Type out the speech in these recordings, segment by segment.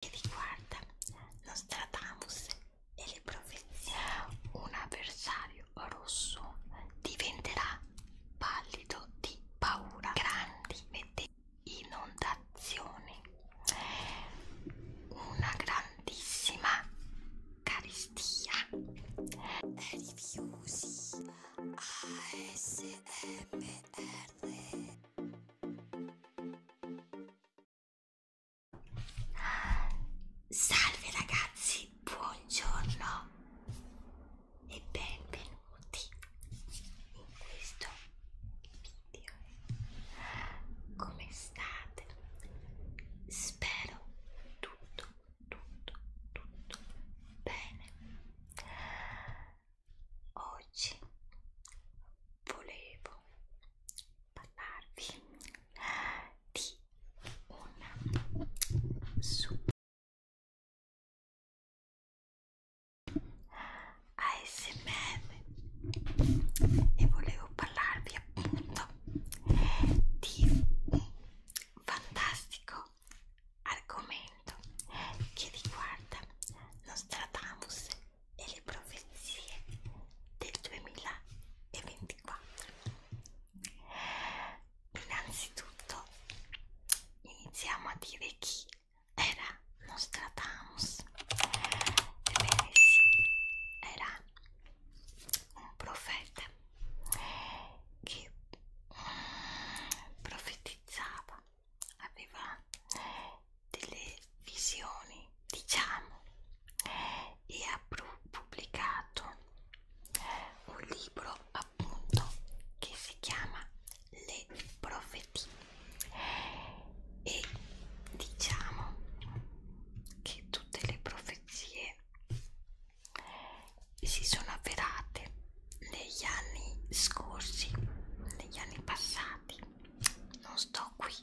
che riguarda Nostradamus e le profezie. Un avversario rosso diventerà pallido di paura, grandi vedette, inondazioni, una grandissima carestia. Rifiusi ASMR Salve ragazzi, buongiorno e benvenuti in questo video. Come state? Spero tutto, tutto, tutto bene. Oggi volevo parlarvi di un super ASMR e volevo parlarvi appunto di un fantastico argomento che riguarda Nostradamus e le profezie del 2024. Innanzitutto iniziamo a dire chi era Nostradamus. Ebbene sì, era un profeta che mm, profetizzava aveva delle visioni diciamo e ha pubblicato un libro appunto che si chiama Le profetie e diciamo che tutte le profezie si sono avverate negli anni scorsi negli anni passati non sto qui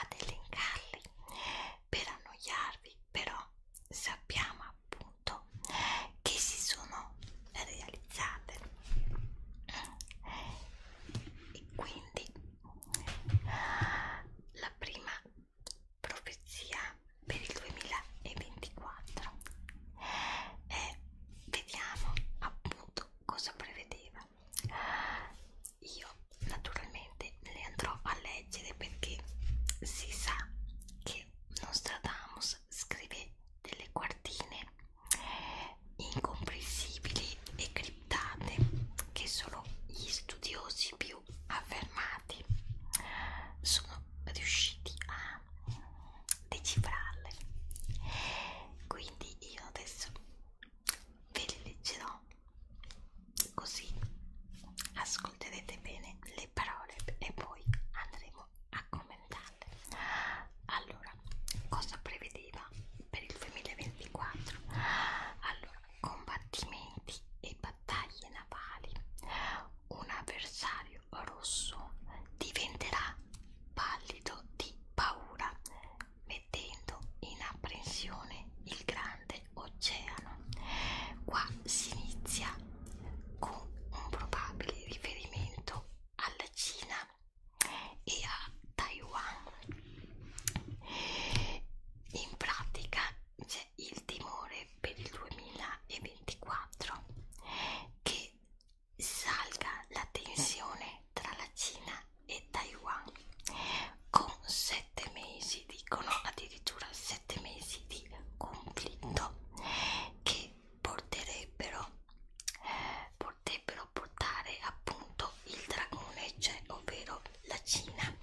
ad elencarli per annoiarvi, però sappiamo appunto che si sono realizzate e quindi la prima profezia per il 2024 e vediamo appunto cosa prevedeva io naturalmente le andrò a leggere perché si sa che Nostradamus scrive delle quartine incomprensibili e criptate che solo gli studiosi più affermati sono riusciti a decifrarle quindi io adesso ve le leggerò così ascolterete bene le parole e poi andremo a commentarle allora cosa prevedeva per il 2024 allora combattimenti e battaglie navali un avversario rosso diventerà pallido di paura, mettendo in apprensione il grande oceano. Qua si inizia con un probabile riferimento alla Cina e a Taiwan. In pratica c'è il timore per il 2024 che salga la eh. tensione tra la Cina e Taiwan con sette mesi, dicono addirittura sette mesi di conflitto che porterebbero, potrebbero portare appunto il dragone, cioè ovvero la Cina,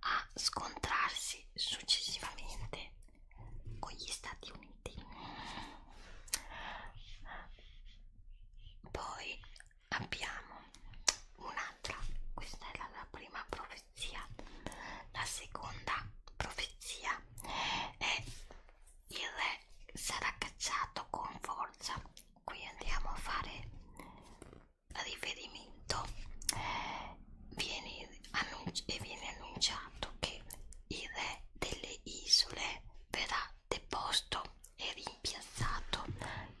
a scontrarsi successivamente con gli Stati Uniti pigmenti poi abbiamo un'altra questa è la, la prima profezia la seconda profezia è il re sarà cacciato con forza qui andiamo a fare riferimento viene, annunci viene annunciato che il re delle isole verrà deposto e rimpiazzato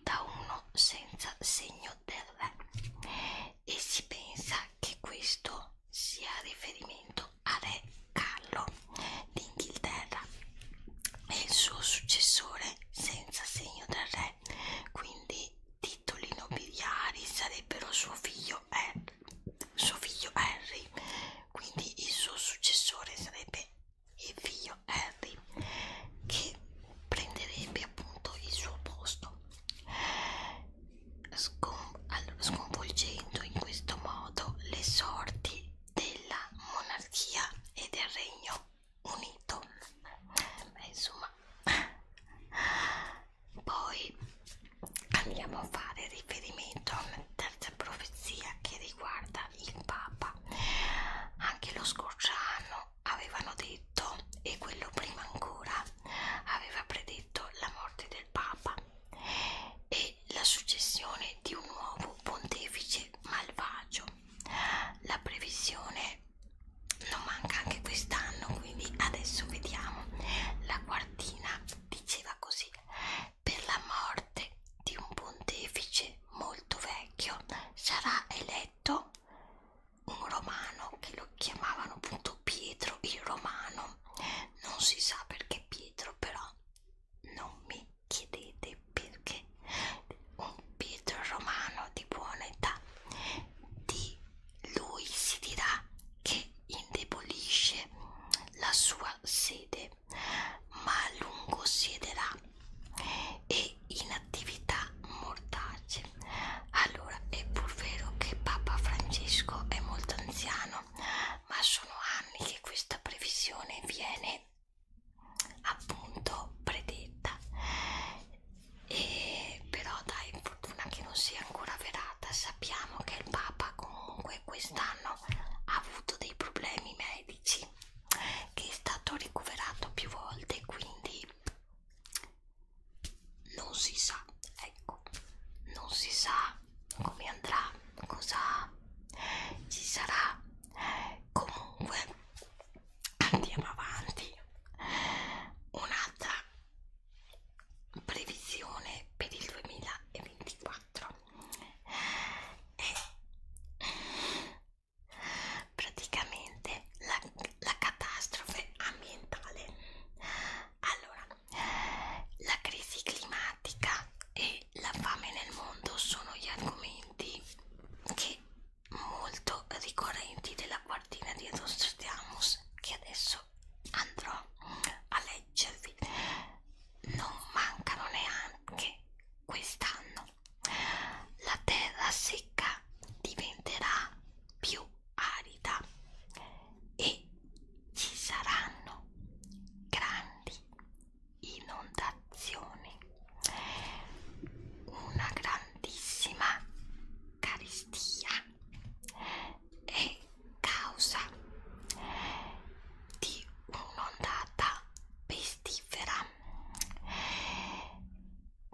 da uno senza segno del re e si pensa che questo sia riferimento a re Carlo d'Inghilterra e il suo successore senza segno del re quindi titoli nobiliari sarebbero suo figlio è eh, suo figlio Harry quindi il suo successore sarebbe il figlio Harry che prenderebbe appunto il suo posto sconvolgendo in questo modo le sorti della monarchia e del regno unito Beh, insomma poi andiamo a fare riferimento a una terza profezia che riguarda il Papa. Anche lo scorso anno avevano detto, e quello prima ancora, aveva predetto la morte del Papa e la successione di un nuovo pontefice malvagio. La previsione non manca anche quest'anno, quindi adesso vediamo. La quartina diceva così: per la morte di un pontefice molto vecchio sarà eletto un romano che lo chiamavano appunto Pietro il Romano. Non si sa perché Pietro, però non mi chiedete perché un Pietro Romano di buona età di lui si dirà che indebolisce la sua sede, ma a lungo siederà e in attività mortace. Allora, è pur vero che Papa Francesco è molto anziano, ma sono anni che questa previsione viene appunto predetta e però dai fortuna che non sia ancora verata sappiamo che il Papa comunque quest'anno ha avuto dei problemi medici che è stato ricoverato più volte quindi non si sa ecco non si sa come andrà cosa ci sarà comunque andiamo avanti un'altra previsione per il 2024 altro e praticamente la, la catastrofe ambientale allora la crisi climatica e la fame nel mondo sono gli argomenti che molto ricorrenti della quartina di Nostradamus che adesso andrò a leggervi non mancano neanche quest'anno la terra secca diventerà più arida e ci saranno grandi inondazioni una grandissima carestia e causa di un'ondata pestifera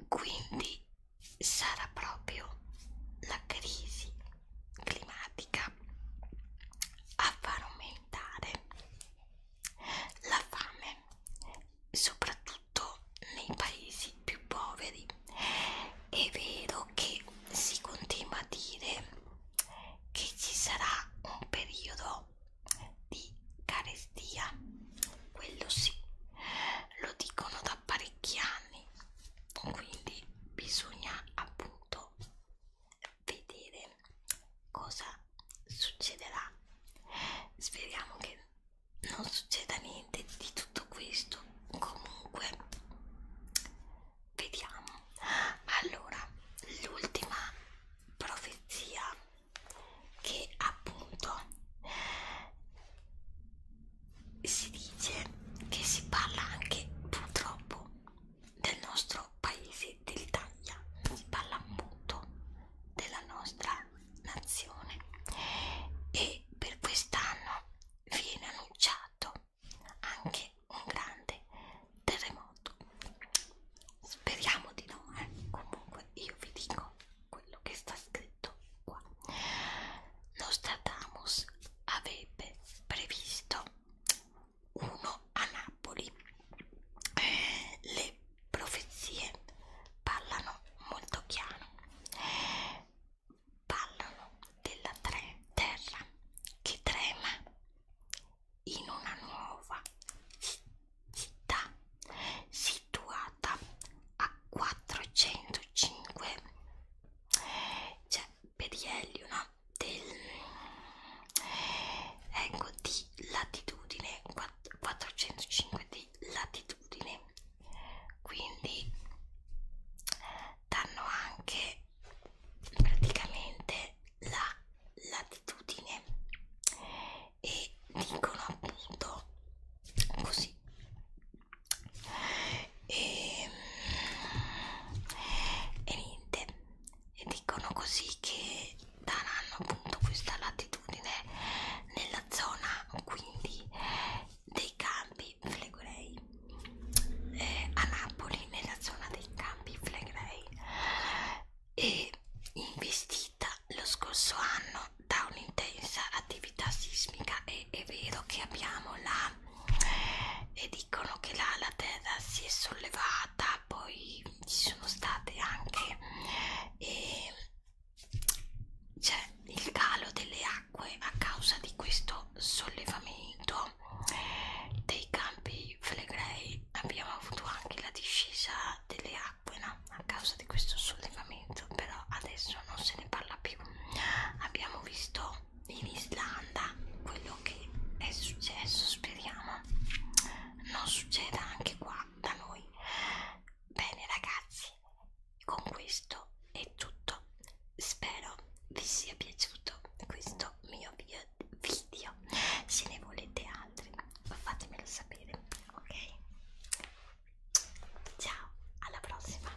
quindi sarà proprio la crisi climatica a far aumentare la fame soprattutto nei paesi più poveri è vero che si continua a dire che ci sarà un periodo di carestia, quello sì, lo dicono da parecchi anni, quindi bisogna appunto vedere cosa succederà. Speriamo che non succeda niente di tutto questo. Comunque vediamo allora l'ultima profezia che appunto si dice che si parla anche purtroppo del nostro paese dell'Italia si parla molto della nostra nazione e per quest'anno viene annunciato anche un grande terremoto speriamo di no eh? comunque io vi dico quello che sta scritto qua Nostradamus avrebbe previsto uno a Napoli eh, le profezie parlano molto chiaro parlano della terra che trema in una nuova città situata a 405 cioè perielli no? del ecco di latitudine 405 di latitudine quindi danno anche praticamente la latitudine e dicono appunto così e, ehm, e niente e dicono così che daranno appunto questa latitudine nella zona quindi dei campi Campi Flegrei eh, a Napoli nella zona dei Campi Flegrei e investita lo scorso anno da un'intensa attività sismica e è vero che abbiamo la e dicono che la, la terra si è sollevata poi ci sono state anche e, c'è il calo delle nacque a causa di questo sollevamento dei campi flegrei. Abbiamo avuto anche la discesa delle acque no? a causa di questo sollevamento, però adesso non se ne parla più. Abbiamo visto in Islanda quello che è successo, speriamo non succeda anche qua da noi. Bene ragazzi, con questo è tutto spero vi sia piaciuto questo mio video se ne volete altri fatemelo sapere ok ciao alla prossima